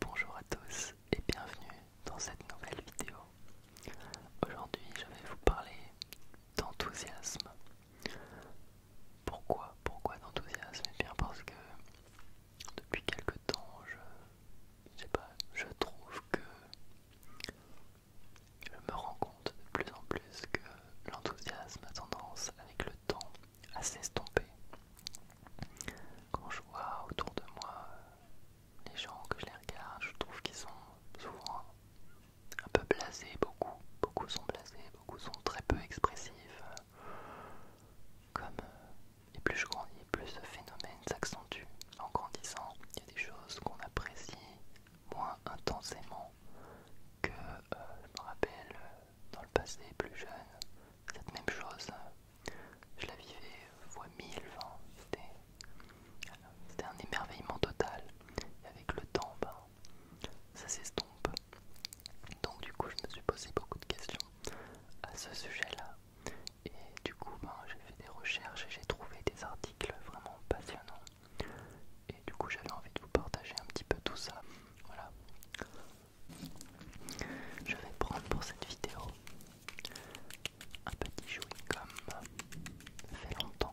Bonjour à tous et bienvenue dans cette nouvelle vidéo. Aujourd'hui je vais vous parler d'enthousiasme. Pourquoi Pourquoi d'enthousiasme Eh bien parce que depuis quelque temps je, je trouve que je me rends compte de plus en plus que l'enthousiasme a tendance avec le temps à s'estomper. Quand je vois autour de moi euh, les gens que je les regarde, je trouve qu'ils sont souvent un peu blasés, beaucoup, beaucoup sont blasés, beaucoup sont très peu expressifs. Euh, comme euh, et plus je grandis, plus ce phénomène s'accentue. En grandissant, il y a des choses qu'on apprécie moins intensément que je me rappelle dans le passé plus jeune. Cette même chose je la vivais fois mille, c'était un émerveillement total. Et avec le temps, ben, ça s'estompe. Donc du coup, je me suis posé beaucoup de questions à ce sujet-là. Et du coup, ben, j'ai fait des recherches et j'ai trouvé des articles vraiment passionnants. Et du coup, j'avais envie de vous partager un petit peu tout ça. Voilà. Je vais prendre pour cette vidéo un petit chewing comme fait longtemps.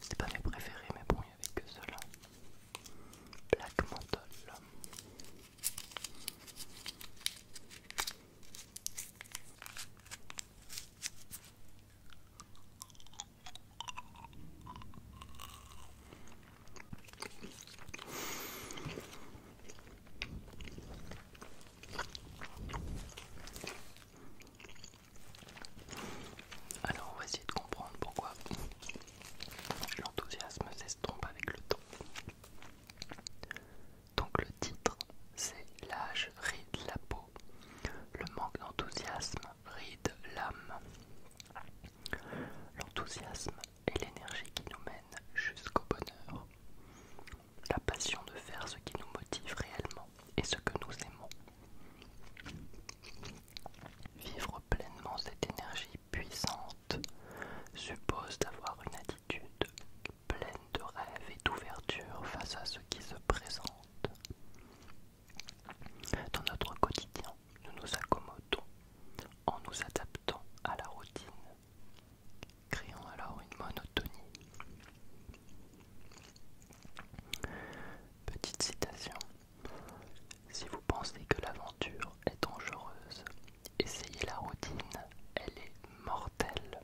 C'était pas mes préférés, mais bon, il y avait que cela. Black Menthol. Alors on va essayer de comprendre pourquoi l'enthousiasme s'estompe avec le temps. Donc le titre c'est l'âge ride la peau, le manque d'enthousiasme ride l'âme. L'enthousiasme est l'énergie qui nous mène jusqu'au bonheur, la passion de faire ce qui nous motive réellement et ce que nous aimons. Vivre pleinement cette énergie puissante suppose d'avoir une attitude pleine de rêve et d'ouverture face à ce qui se présente. Dans notre quotidien, nous nous accommodons en nous adaptant à la routine, créant alors une monotonie. Petite citation. Si vous pensez que l'aventure est dangereuse, essayez la routine, elle est mortelle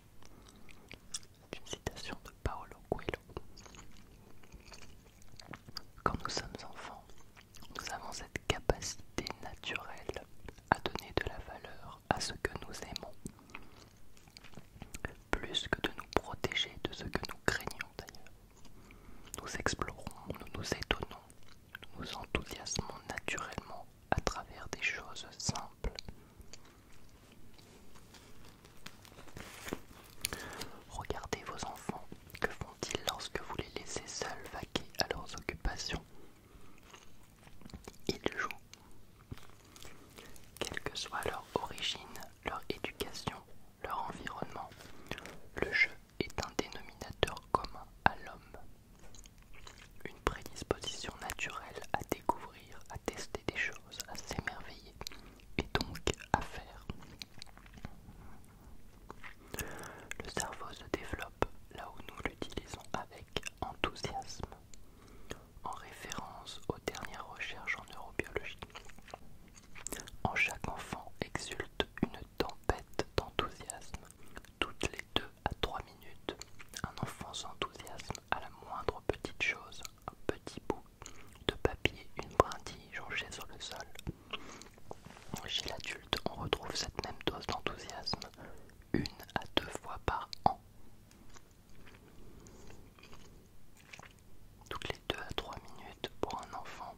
une citation de Paolo Coelho. Quand nous sommes enfants, nous avons cette capacité naturelle à donner de la valeur à ce que nous aimons, plus que de nous protéger de ce que nous craignons d'ailleurs. Nous explorons, nous nous étonnons, nous nous enthousiasmons naturellement à travers des choses simples Regardez vos enfants, que font-ils lorsque vous les laissez seuls vaquer à leurs occupations Ils jouent. Quelle que soit leur origine, leur éducation, leur environnement, le jeu est un dénominateur commun à l'homme. Une prédisposition naturelle à découvrir à tester des choses, à s'émerveiller et donc à faire. Le cerveau se développe là où nous l'utilisons avec enthousiasme, en référence aux dernières recherches en neurobiologie. En chaque enfant exulte une tempête d'enthousiasme. Toutes les deux à 3 minutes, un enfant s'enthousiasme à la moindre petite chose un petit bout de papier, une brindille jonchée sur le sol. Chez l'adulte, on retrouve cette même dose d'enthousiasme une à deux fois par an. Toutes les deux à trois minutes pour un enfant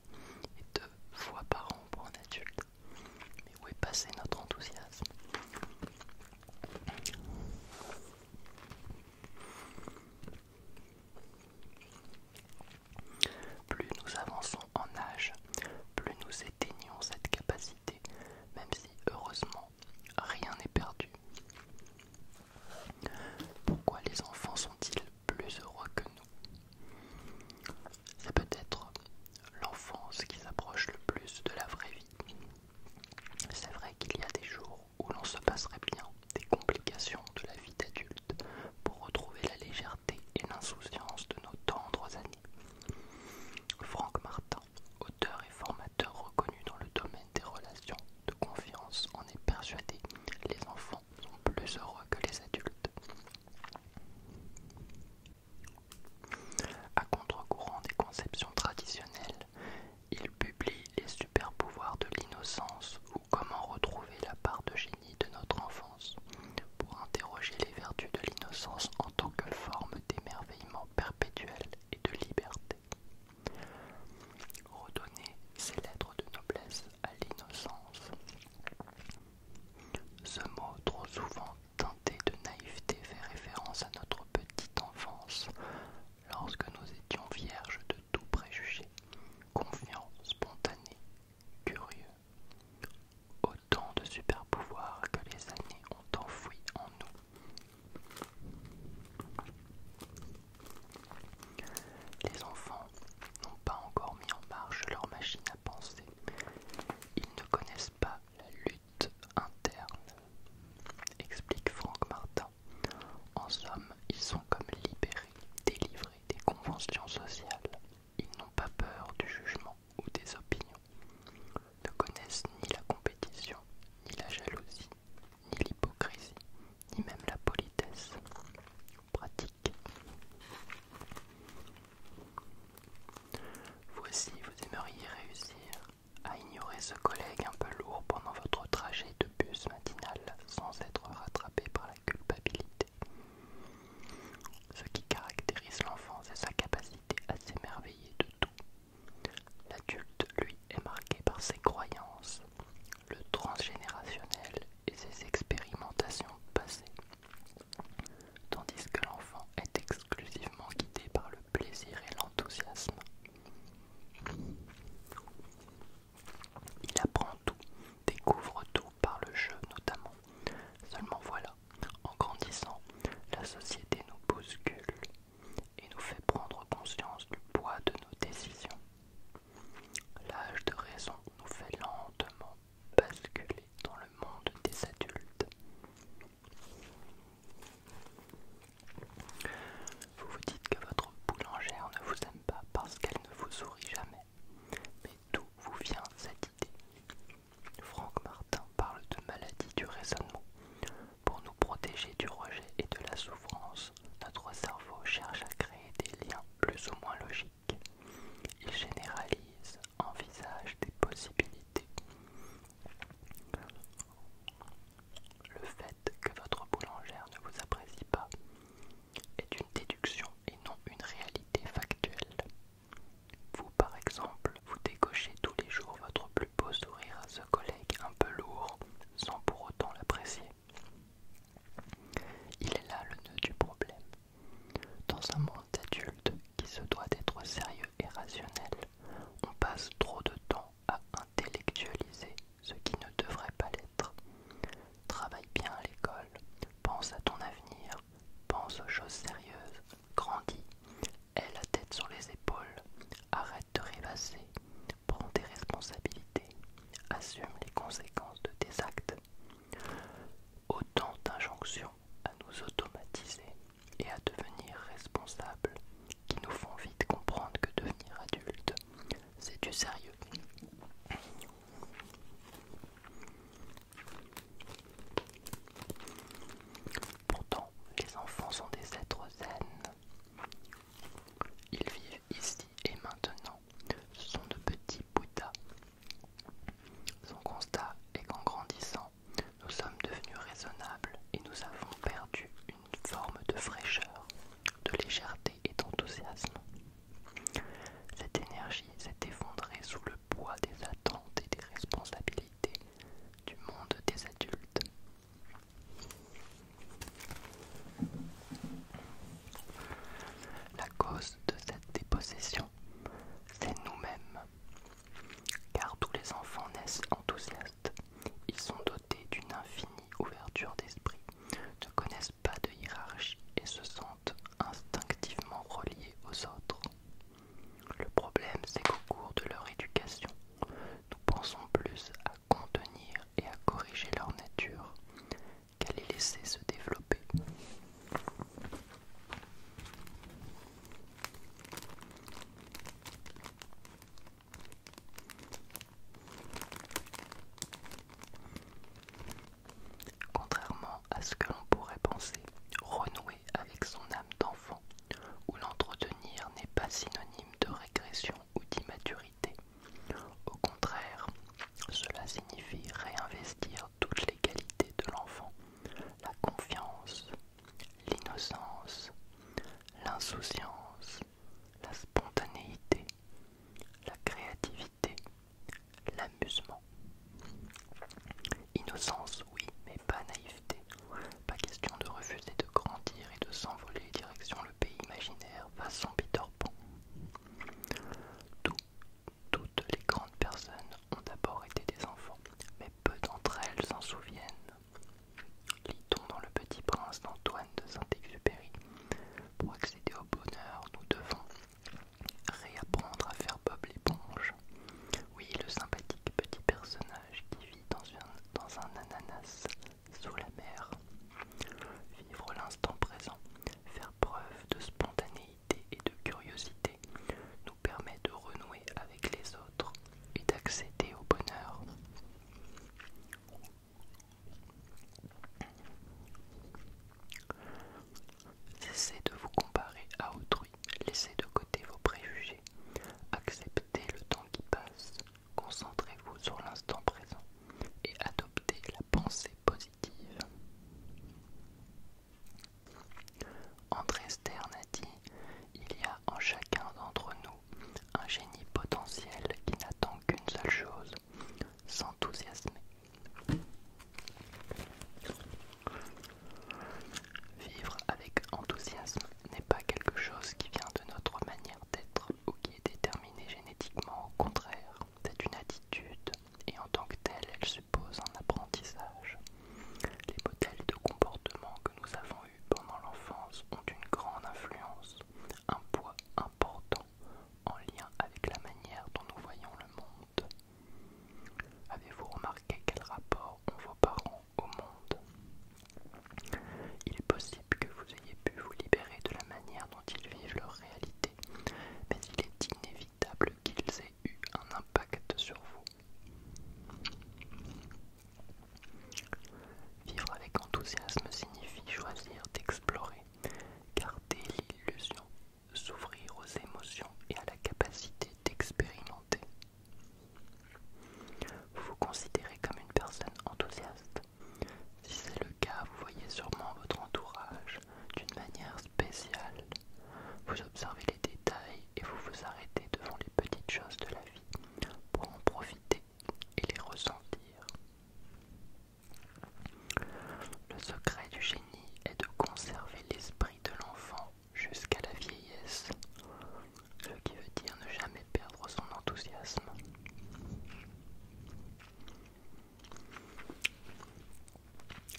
et deux fois par an pour un adulte. Mais où est passé notre enthousiasme plus nous avançons en âge, plus nous éteignons cette capacité, même si heureusement rien n'est perdu. Pourquoi les enfants sont-ils plus heureux que nous C'est peut-être l'enfance qui s'approche le plus de la vraie vie. C'est vrai qu'il y a des jours où l'on se passerait bien des complications de la vie d'adulte pour retrouver la légèreté et l'insouciance de nos tendres années. Franck Martin, auteur et formateur reconnu dans le domaine des relations de confiance, en est persuadé les enfants sont plus heureux que les adultes. À contre-courant des conceptions traditionnelles, il publie Les super pouvoirs de l'innocence ou Comment retrouver la part de génie de notre enfance pour interroger les vertus de l'innocence en tant que forme d'émerveillement perpétuel et de liberté. Redonner ses lettres de noblesse à l'innocence. Ce mot trop souvent teinté de naïveté fait référence à notre petite enfance, lorsque nous étions vierges de tout préjugé, confiants, spontanés, curieux. Autant de super pouvoirs que les années ont enfouis en nous. Les enfants n'ont pas encore mis en marche leur machine à penser. Ils ne connaissent pas la lutte interne, explique Franck Martin, en somme, ils sont comme libérés, délivrés des conventions sociales. Ils n'ont pas peur du jugement ou des opinions, ne connaissent ni la compétition, ni la jalousie, ni l'hypocrisie, ni même la politesse. Pratique. Voici, vous aimeriez réussir à ignorer ce collègue un peu lourd pendant votre trajet de bus matinal sans être rattrapé par la culpabilité. Ce qui caractérise l'enfant, c'est sa capacité à s'émerveiller de tout. L'adulte, lui, est marqué par ses croyances, le transgénérationnel et ses expérimentations passées, tandis que l'enfant est exclusivement guidé par le plaisir et l'enthousiasme. Il apprend tout, découvre tout par le jeu notamment. Seulement voilà, en grandissant, la société nous bouscule et nous fait prendre conscience du poids de nos décisions. L'âge de raison nous fait lentement basculer dans le monde des adultes. Vous vous dites que votre boulangère ne vous aime pas parce qu'elle ne vous sourit jamais. Mais d'où vous vient cette idée Franck Martin parle de maladie du raisonnement. Pour nous protéger du rejet et de la souffrance, notre cerveau cherche à créer des liens plus ou moins logiques. Il généralise, envisage des possibilités. Le fait que votre boulangère ne vous apprécie pas est une déduction et non une réalité factuelle. Vous, par exemple, vous décochez tous les jours votre plus beau sourire à ce collègue un peu lourd sans pour autant l'apprécier. Il est là le nœud du problème. Dans un monde adulte qui se doit d'être sérieux et rationnel, on passe trop de temps à intellectualiser ce qui ne devrait pas l'être. Travaille bien à l'école, pense à ton avenir, pense aux choses sérieuses, grandis, aie la tête sur les épaules, arrête de rêvasser, prends tes responsabilités, assume les conséquences de tes actes. Autant d'injonctions à nous automatiser et à devenir responsables qui nous font vite comprendre que devenir adulte, c'est du sérieux. Pourtant, les enfants sont des êtres zen. Ils vivent ici et maintenant. Ce sont de petits Bouddhas. Son constat est qu'en grandissant, nous sommes devenus raisonnables et nous avons perdu une une forme de fraîcheur, de légèreté et d'enthousiasme. Cette énergie s'est effondrée sous le poids des attentes et des responsabilités du monde des adultes. La cause de cette dépossession, c'est nous-mêmes. Car tous les enfants naissent enthousiastes. Ils sont dotés d'une infinie ouverture d'esprit, ne connaissent pas de hiérarchie et se sentent instinctivement reliés aux autres. Le problème, c'est qu'au cours de leur éducation, nous pensons plus à contenir et à corriger leur nature qu'à les laisser se développer. Contrairement à ce que l'on pourrait penser, renouer avec son âme d'enfant ou l'entretenir n'est pas synonyme de régression ou d'immaturité. Au contraire, cela signifie réinvestir toutes les qualités de l'enfant, la confiance, l'innocence, l'insouciance, la spontanéité, la créativité, l'amusement. Innocence, oui, mais pas naïveté. Pas question de refuser de grandir et de s'envoler direction le pays imaginaire façon Peter Pan. toutes les grandes personnes ont d'abord été des enfants, mais peu d'entre elles s'en souviennent. Lit-on dans Le Petit Prince d'Antoine de Saint-Exupéry Pour accéder au bonheur, nous devons réapprendre à faire Bob l'éponge. Oui, le sympathique petit personnage qui vit dans, dans un ananas sous la mer. Vivre l'instant présent, faire preuve de spontanéité et de curiosité nous permet de renouer avec les autres et d'accéder au bonheur. Cessez de vous comparer à autrui, laissez de côté vos préjugés, acceptez le temps qui passe, concentrez-vous sur l'instant présent et adoptez la pensée positive. André Stern a dit Il y a en chacun d'entre nous un génie potentiel qui n'attend qu'une seule chose, s'enthousiasmer. Vivre avec enthousiasme n'est pas quelque chose qui vient de notre manière d'être ou qui est déterminé génétiquement, au contraire, c'est une attitude et en tant que telle, elle suppose un apprentissage. Les modèles de comportement que nous avons pendant l'enfance ont une grande influence, un poids important en lien avec la manière dont nous voyons le monde. Avez-vous remarqué quel rapport ont vos parents au monde Il est possible que vous ayez pu vous libérer de la manière dont ils vivent leur réalité, mais il est inévitable qu'ils aient eu un impact sur vous. Vivre avec enthousiasme signifie choisir d'explorer, garder l'illusion, s'ouvrir aux émotions et à la capacité d'expérimenter. Vous vous considérez comme une personne enthousiaste Si c'est le cas, vous voyez sûrement votre entourage d'une manière spéciale. Vous observez les détails et vous vous arrêtez devant les petites choses de la vie pour en profiter et les ressentir. Le secret du génie est de conserver l'esprit de l'enfant jusqu'à la vieillesse, ce qui veut dire ne jamais perdre son enthousiasme.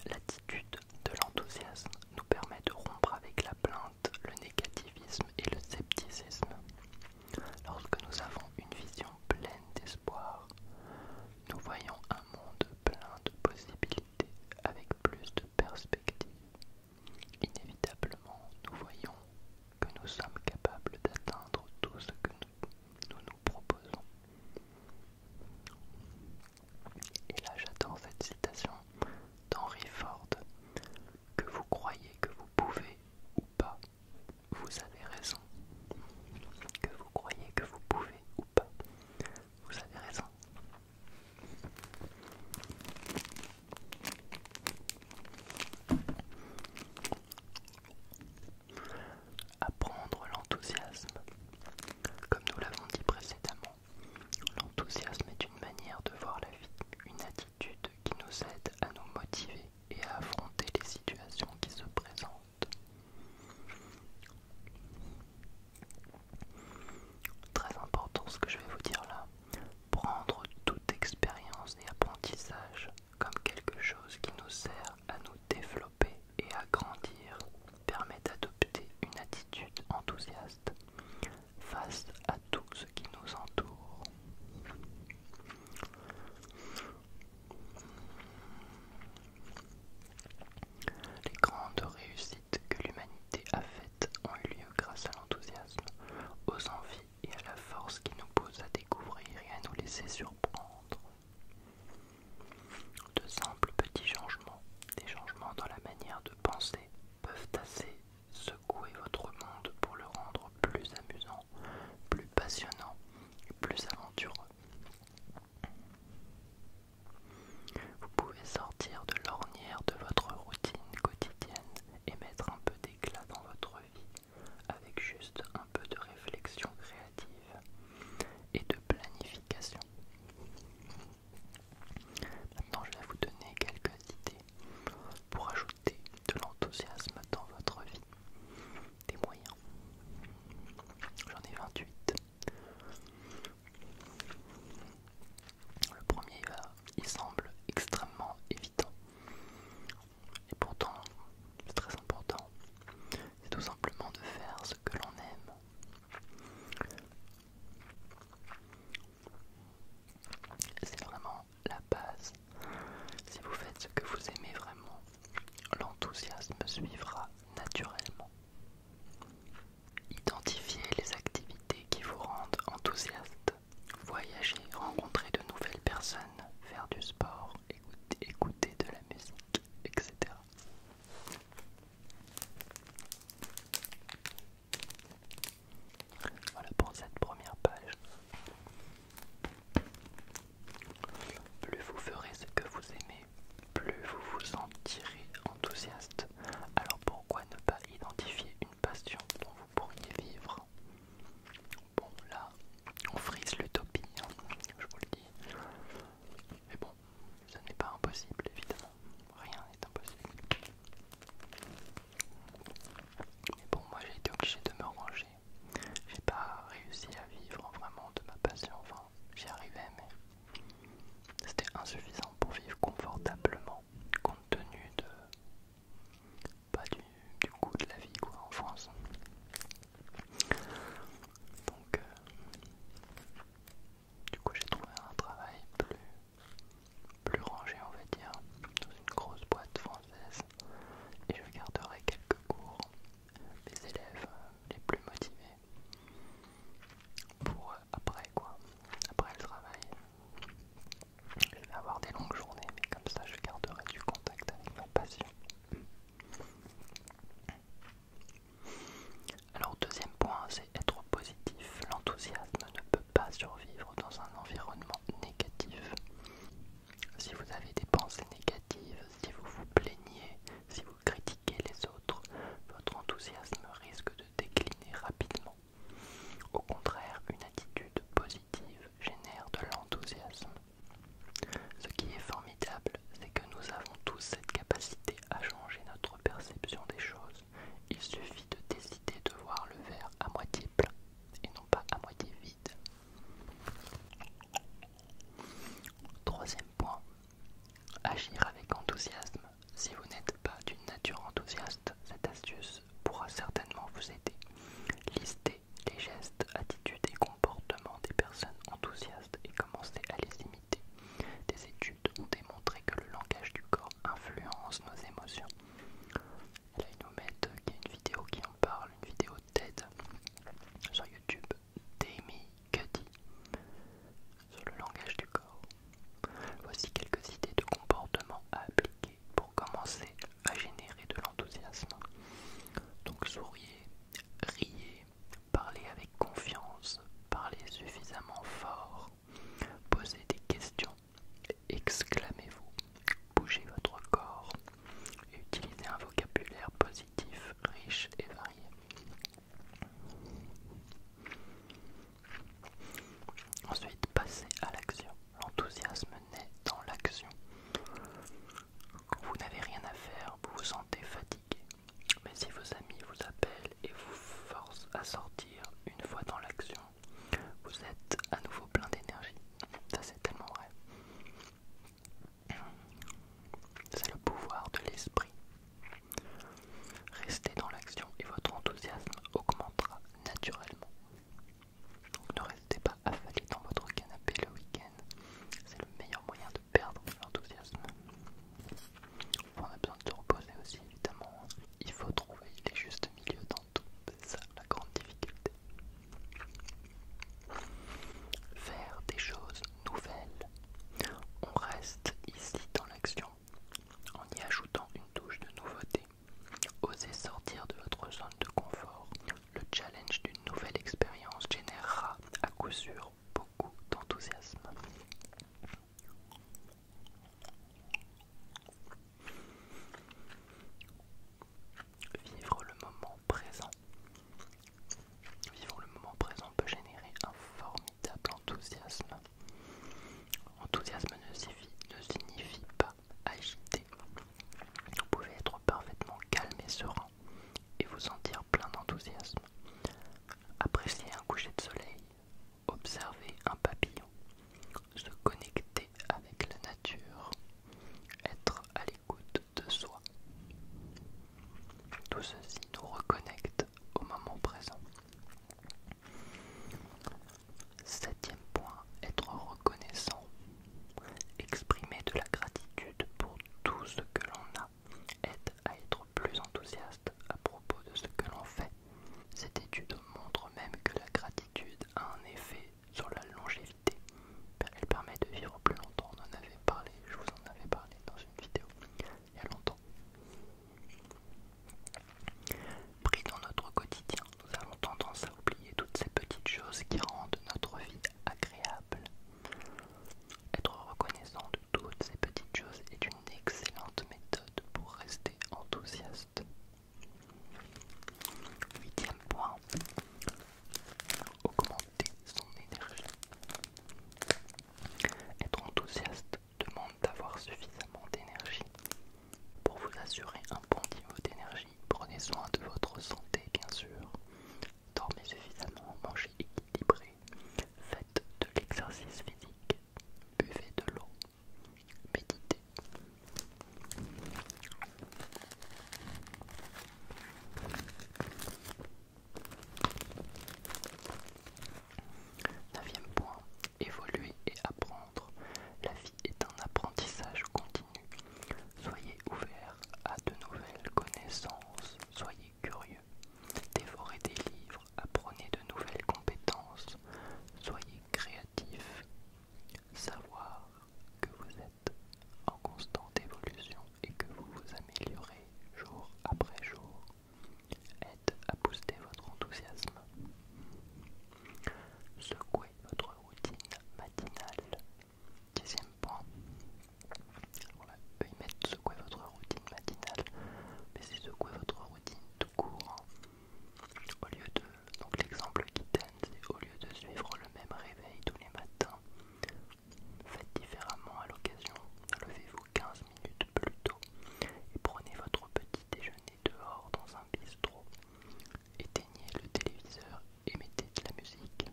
L'attitude de l'enthousiasme nous permet de rompre avec la plainte le négativisme et le scepticisme. Lorsque nous avons une vision pleine d'espoir, nous voyons un monde plein de possibilités avec plus de perspectives. Inévitablement, nous voyons que nous sommes capables d'atteindre tout ce que nous nous, nous proposons. Et là j'adore cette citation d'Henry Ford que vous croyez que vous pouvez ou pas, vous avez raison. Que vous croyez que vous pouvez ou pas, vous avez raison. Apprendre l'enthousiasme. Comme nous l'avons dit précédemment, l'enthousiasme est une manière de voir la vie, une attitude qui nous aide à nous motiver et à affronter les situations qui se présentent. Très important ce que je vais vous dire là. Prendre toute expérience et apprentissage comme quelque chose qui nous sert à nous développer et à grandir permet d'adopter une attitude enthousiaste face à tout ce qui nous entoure. Les grandes réussites que l'humanité a faites ont eu lieu grâce à l'enthousiasme, aux envies et à la force qui nous pose à découvrir et à nous laisser surprendre. De simples petits changements, des changements dans la manière de penser, peuvent assez Secouez votre monde pour le rendre plus amusant, plus passionnant et plus aventureux. Vous pouvez sortir de l'ornière de votre routine quotidienne et mettre un peu d'éclat dans votre vie avec juste un peu de réflexion créative et de planification. Maintenant, je vais vous donner quelques idées pour ajouter de l'enthousiasme dans votre vie. Des moyens. J'en ai 28. Le premier, il semble extrêmement évident. Et pourtant, c'est très important. C'est tout simplement de faire ce que l'on aime. C'est vraiment la base. Si vous faites ce que vous aimez vraiment, l'enthousiasme suivra naturellement. Identifiez les activités qui vous rendent enthousiaste. Voyager, rencontrer de nouvelles personnes, faire du sport, écouter, écouter de la musique, etc. Voilà pour cette première page. Plus vous ferez ce que vous aimez, plus vous vous sentirez enthousiaste. Alors pourquoi ne pas identifier une passion dont vous pourriez vivre Bon là, on frise l'utopie, hein, je vous le dis. Mais bon, ce n'est pas impossible évidemment. Rien n'est impossible. Mais bon, moi j'ai été obligé de me ranger. J'ai pas réussi à vivre vraiment de ma passion. Enfin, j'y arrivais, mais c'était insuffisant pour vivre confortablement, compte tenu de. pas bah, du, goût coût de la vie, quoi, en France. Donc, euh, du coup, j'ai trouvé un travail plus plus rangé on va dire, dans une grosse boîte française et je garderai quelques cours des élèves euh, les plus motivés pour euh, après quoi, après le travail. Je vais avoir des longues journées mais comme ça je garderai du contact avec ma passion. Alors deuxième point, c'est être positif. L'enthousiasme ne peut pas survivre dans un environnement si vous avez des pensées négatives, si vous vous plaignez, si vous critiquez les autres, votre enthousiasme risque de décliner rapidement. Au contraire, une attitude positive génère de l'enthousiasme. Ce qui est formidable, c'est que nous avons tous cette capacité à changer notre perception des choses. Il suffit de décider de voir le verre à moitié plein et non pas à moitié vide. Troisième point, agir avec enthousiasme. Si vous n'êtes pas d'une nature enthousiaste, cette astuce pourra certainement vous aider. Listez les gestes, attitudes et comportements des personnes enthousiastes et commencez à les imiter. Des études ont démontré que le langage du corps influence nos émotions. Là, ils nous mettent euh, y a une vidéo qui en parle, une vidéo TED sur YouTube d'Amy Cuddy sur le langage du corps. Voici quelques idées de comportement à appliquer pour commencer à générer de l'enthousiasme. Donc souriez, riez, parlez avec confiance, parlez suffisamment fort, Posez des questions, exclamez-vous, bougez votre corps, utilisez un vocabulaire positif, riche et varié. Ensuite, passez à l'action. L'enthousiasme naît dans l'action. Quand vous n'avez rien à faire, vous vous sentez fatigué. Mais si vos amis vous appellent et vous forcent à sortir une fois dans l'action, vous êtes à nouveau plein d'énergie. Ça c'est tellement vrai. C'est le pouvoir de l'esprit. Restez dans l'action et votre enthousiasme augmentera naturellement. Donc ne restez pas affalé dans votre canapé le week-end. C'est le meilleur moyen de perdre l'enthousiasme. On a besoin de se reposer aussi évidemment. Il faut trouver les justes dans ça la grande difficulté. Faire des choses nouvelles. On reste ici dans l'action en y ajoutant une touche de nouveauté. Osez sortir de votre zone de confort. Le challenge d'une nouvelle expérience générera à coup sûr beaucoup d'enthousiasme. Vivre le moment présent. Vivre le moment présent peut générer un formidable enthousiasme. Enthousiasme ne signifie, pas agiter. Vous pouvez être parfaitement calme et serein et vous sentir plein d'enthousiasme. Apprécier un coucher de soleil, observer un papillon, se connecter avec la nature, être à l'écoute de soi. Tout ceci nous reconnecte au moment présent. Septième point, être reconnaissant. Exprimer de la gratitude pour tout ce que l'on a aide à être plus enthousiaste à propos de ce que l'on fait cette étude montre même que la gratitude a un effet sur la longévité. Ben, elle permet de vivre plus longtemps. On en avait parlé, je vous en avais parlé dans une vidéo il y a longtemps. Pris dans notre quotidien, nous avons tendance à oublier toutes ces petites choses qui rendent notre vie agréable. Être reconnaissant de toutes ces petites choses est une excellente méthode pour rester enthousiaste. Huitième point, augmenter son énergie. Être enthousiaste demande d'avoir suffisamment d'énergie. Pour vous assurer un bon niveau d'énergie, prenez soin de votre santé bien sûr. Dormez suffisamment, mangez équilibré, faites de l'exercice physique, buvez de l'eau, méditez. Neuvième point, évoluer et apprendre. La vie est un apprentissage continu. Soyez ouvert à de nouvelles connaissances, soyez curieux, dévorez des livres, apprenez de nouvelles compétences, soyez créatif savoir que vous êtes en constante évolution et que vous vous améliorez jour après jour aide à booster votre enthousiasme. Secouez votre routine matinale. Dixième point. On peut ils secouer votre routine matinale, mais c'est secouer votre routine tout court. Hein, au lieu de, donc l'exemple qui c'est au lieu de suivre le même réveil tous les matins, faites différemment à l'occasion. Levez-vous 15 minutes plus tôt et prenez votre petit déjeuner dehors dans un bistrot. Éteignez le téléviseur et mettez de la musique.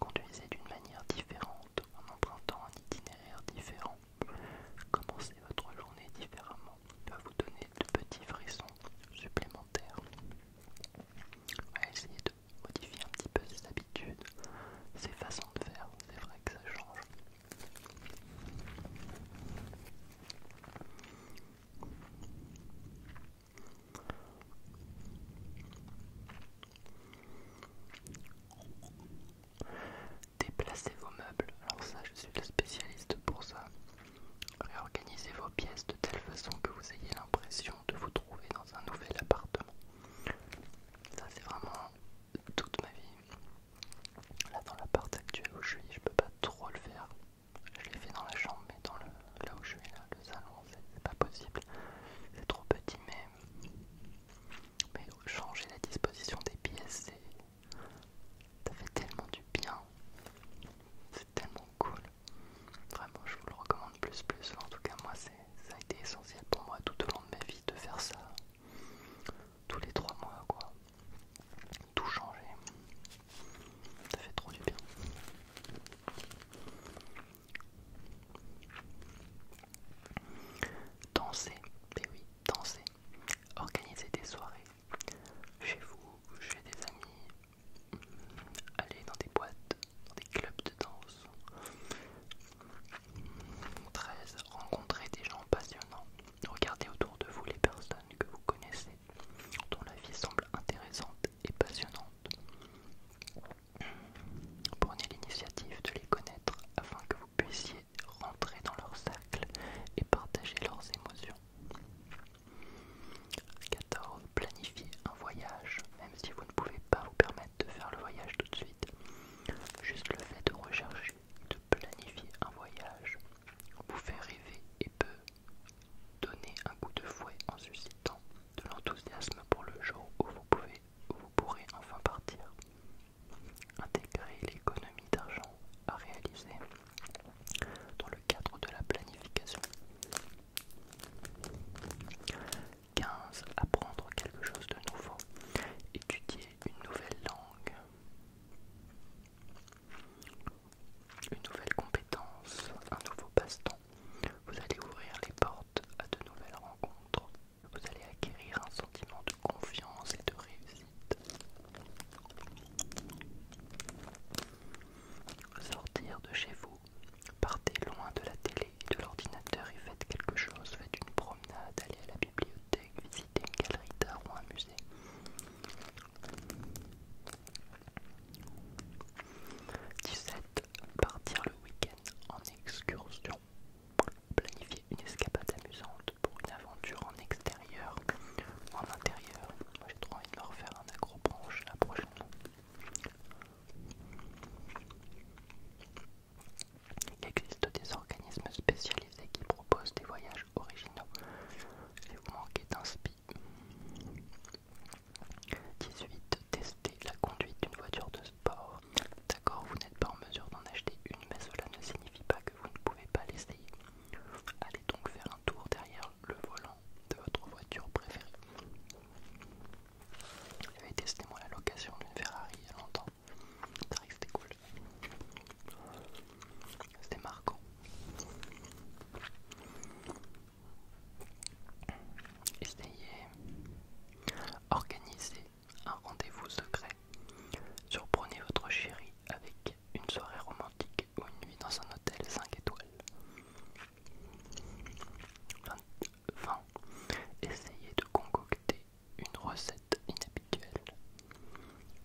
Conduisez d'une manière différente en empruntant un itinéraire différent. Commencez votre journée différemment va vous donner de petits frissons supplémentaires. essayez de modifier un petit peu ses habitudes, ses façons de faire, c'est vrai que ça change. Déplacez vos meubles, alors ça je suis le spécialiste pour ça. Réorganisez vos pièces de telle façon que vous ayez l'impression de vous trouver dans un nouvel appartement. Ça c'est vraiment toute ma vie. Là dans l'appart actuel où je suis, je peux pas trop le faire. Je l'ai fait dans la chambre, mais dans le, là où je suis là, le salon, c'est pas possible. C'est trop petit, mais mais changer la disposition des pièces, c'est ça fait tellement du bien. C'est tellement cool. Vraiment, je vous le recommande plus, plus. En tout cas, moi, ça a été essentiel pour moi tout au long de ma vie de faire ça. Tous les trois mois, quoi. Tout changer. Ça fait trop du bien. Danser, mais eh oui, danser. Organisez des soirées chez vous, chez des amis, hmm, allez dans des boîtes, dans des clubs de danse. 13. Hmm, Rencontrez des gens passionnants. Regardez autour de vous les personnes que vous connaissez, dont la vie semble intéressante et passionnante. Hmm, Prenez l'initiative de les connaître afin que vous puissiez rentrer dans leur cercle et partager leurs émotions. 14. Planifier un voyage, même si vous ne pouvez pas vous permettre de faire le voyage tout de suite. Juste le fait de rechercher, de planifier un voyage, vous fait rêver et peut donner un coup de fouet en suscitant de l'enthousiasme pour le jour où vous, vous pourrez enfin partir. Intégrer l'économie d'argent à réaliser dans le cadre de la planification. 15. Apprendre quelque chose de nouveau. Étudier une nouvelle langue. Une nouvelle compétence. Un nouveau passe-temps. Vous allez ouvrir les portes à de nouvelles rencontres. Vous allez acquérir un sentiment de confiance et de réussite. Sortir de chez vous, partez loin de la télé et de l'ordinateur et faites quelque chose, faites une promenade, allez à la bibliothèque, visitez une galerie d'art ou un musée. 17 Partir le week-end en excursion. Planifier une escapade amusante pour une aventure en extérieur ou en intérieur. Moi j'ai trop envie de me refaire un accro la prochaine. Il existe des organismes spécialisés qui proposent des voyages originaux. vous manquez d'inspi. 18. Tester la conduite d'une voiture de sport. D'accord, vous n'êtes pas en mesure d'en acheter une, mais cela ne signifie pas que vous ne pouvez pas l'essayer. Allez donc faire un tour derrière le volant de votre voiture préférée. J'avais testé moi la location d'une Ferrari il y a longtemps. Ça c'était cool. C'était marquant. Essayez. Organisez un rendez-vous secret. Surprenez votre chérie avec une soirée romantique ou une nuit dans un hôtel 5 étoiles. 20. Essayez de concocter une recette inhabituelle.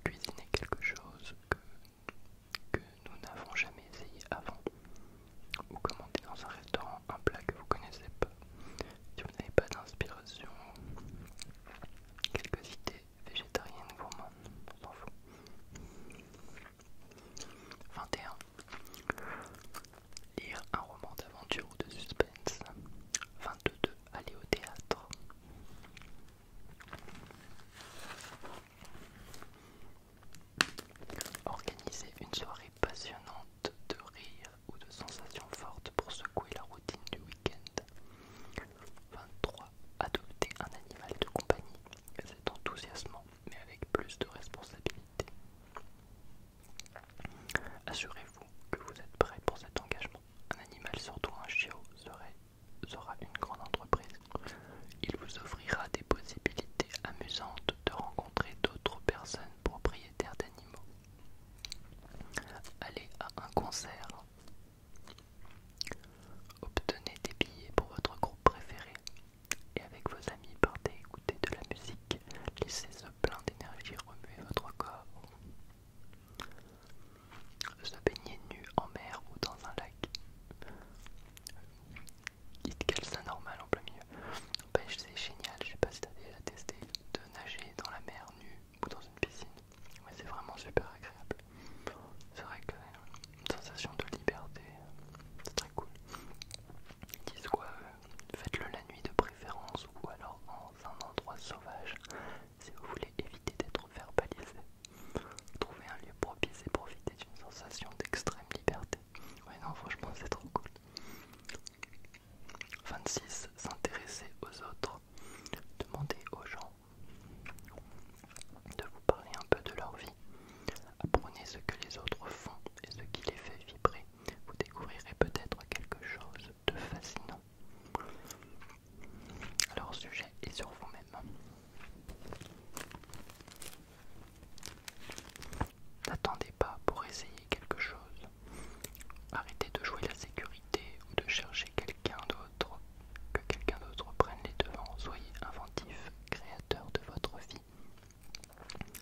Cuisiner quelque chose que, nous n'avons jamais essayé avant. Ou commander dans un restaurant un plat que vous connaissez pas. Si vous n'avez pas d'inspiration, quelques idées végétarienne, gourmande, 21. Lire un roman d'aventure ou de suspense. 22. Aller au théâtre. Organiser une soirée passionnante de rire ou de sensations fortes pour secouer la routine du 23. Adopter un animal de compagnie, c'est enthousiasmant, mais avec plus de responsabilité. Assurez-vous que vous êtes prêt pour cet engagement. Un animal, surtout un chiot, sera une grande entreprise. Il vous offrira des possibilités amusantes de rencontrer d'autres personnes propriétaires d'animaux. Aller à un concert, Obtenez des billets pour votre groupe préféré et avec vos amis partez écouter de la musique, laissez ce plein d'énergie remuer votre corps. Se baigner nu en mer ou dans un lac. Dites quel ça normal en plein milieu. Pêche c'est génial, je sais pas si t'as déjà testé de nager dans la mer nu ou dans une piscine c'est vraiment super agréable. C'est vrai que euh, sensation de liberté, euh, c'est très cool. Ils disent quoi euh, Faites-le la nuit de préférence ou alors dans un endroit sauvage si vous voulez éviter d'être verbalisé. Trouvez un lieu propice et profitez d'une sensation d'extrême liberté. Ouais non franchement c'est trop cool. 26. S'intéresser aux autres. Demandez aux gens de vous parler un peu de leur vie. Apprenez ce que les autres font et ce qui les fait vibrer. Vous découvrirez peut-être quelque chose de fascinant. Leur sujet est sur vous-même. N'attendez pas pour essayer quelque chose. Arrêtez de jouer la sécurité ou de chercher quelqu'un d'autre, que quelqu'un d'autre prenne les devants. Soyez inventif, créateur de votre vie.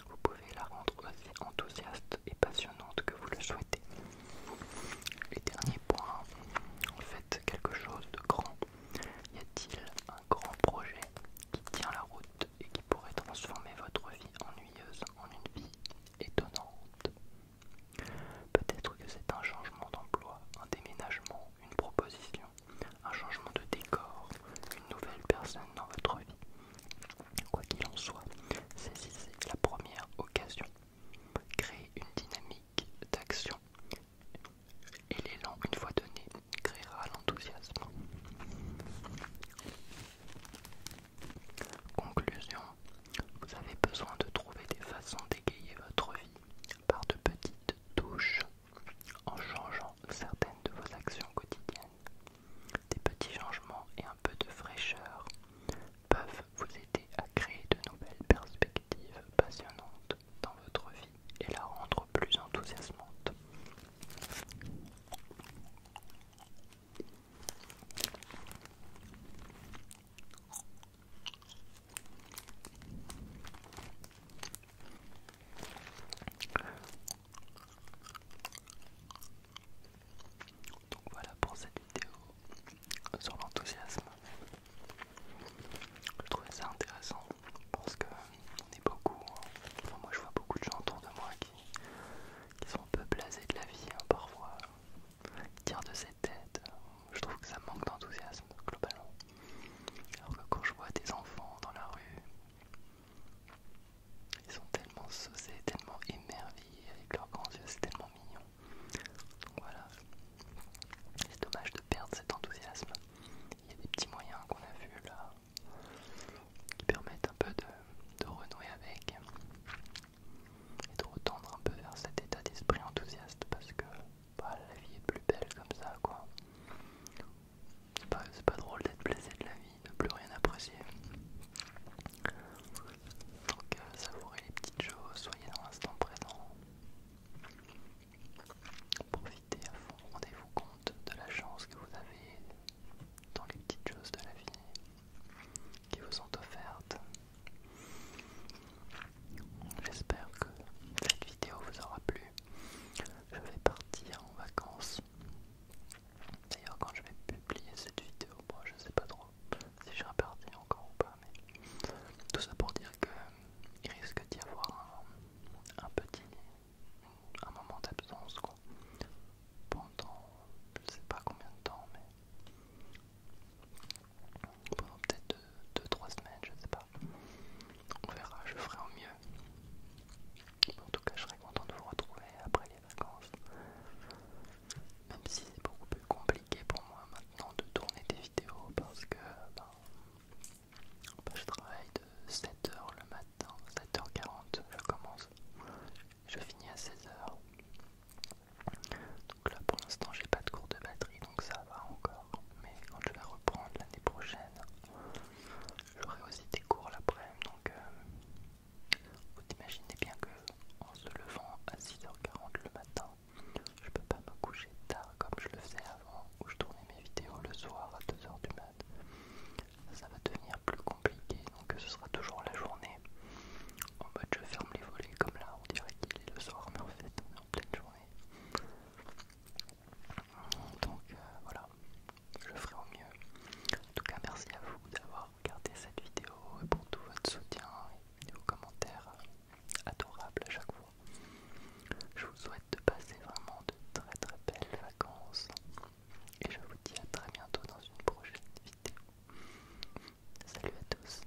Vous pouvez la rendre aussi enthousiaste et passionnante que vous le souhaitez. Et dernier point, en faites quelque chose de grand. Y a-t-il un grand projet qui tient la route et qui pourrait transformer votre vie ennuyeuse en une vie étonnante Peut-être que c'est un changement d'emploi, un déménagement, une proposition, un changement de décor, une nouvelle personne dans votre vie. Quoi qu'il en soit, saisissez la première occasion. Créez une dynamique d'action et l'élan, une fois donné, créera l'enthousiasme. Conclusion vous avez besoin de trouver des façons d'égayer votre vie par de petites touches en changeant certaines de vos actions quotidiennes. Des petits changements et un peu de fraîcheur peuvent vous aider à créer de nouvelles perspectives passionnantes dans votre vie et la rendre plus enthousiasmante. Donc voilà pour cette vidéo sur l'enthousiasme. Je trouvais ça intéressant parce que on est beaucoup. Hein. moi je vois beaucoup de gens autour de moi qui, sont un peu blasés de la vie hein, parfois tire de ses têtes. Je trouve que ça manque d'enthousiasme globalement. Alors que quand je vois des enfants dans la rue, ils sont tellement saucés, tellement émerveillés avec leurs grands yeux, c'est tellement mignon. Donc voilà, c'est dommage de perdre cet enthousiasme. Il y a des petits moyens qu'on a vus là qui permettent un peu de, de renouer avec et de retendre un peu vers cet état d'esprit enthousiaste parce que la vie est plus belle comme ça quoi. C'est pas, drôle d'être blessé de la vie, de plus rien apprécier. Donc euh, savourez les petites choses, soyez dans l'instant présent. Profitez à fond, rendez-vous compte de la chance que vous avez dans les petites choses de la vie qui vous sont offertes. J'espère que cette vidéo vous aura plu. Je vais partir en vacances. D'ailleurs, quand je vais publier cette vidéo, je ne sais pas trop si je serai encore ou pas, mais tout ça pour dire que il risque d'y avoir un, petit un moment d'absence quoi pendant je sais pas combien de temps mais pendant peut-être 2-3 semaines, je sais pas. On verra, je ferai au mieux. En tout cas, je serai content de vous retrouver après les vacances. Même si c'est beaucoup plus compliqué pour moi maintenant de tourner des vidéos parce que ben, bah, je travaille de 7h le matin, 7h40 je commence, je finis à 16h. Donc là pour l'instant j'ai pas de cours de batterie donc ça va encore. Mais quand je vais reprendre l'année prochaine, j'aurai aussi des cours l'après-midi. Donc euh, vous imaginez bien que en se levant à 6h40 le matin, je peux pas me coucher tard comme je le faisais avant où je tournais mes vidéos le soir à 2h du mat. Ça va devenir plus compliqué donc ce sera toujours la journée en mode je ferme les volets comme là on dirait qu'il est le soir mais en fait on est en pleine journée donc euh, voilà je ferai au mieux en tout cas merci à vous d'avoir regardé cette vidéo et pour tout votre soutien et vos commentaires euh, adorables à chaque fois je vous souhaite de passer vraiment de très très belles vacances et je vous dis à très bientôt dans une prochaine vidéo salut à tous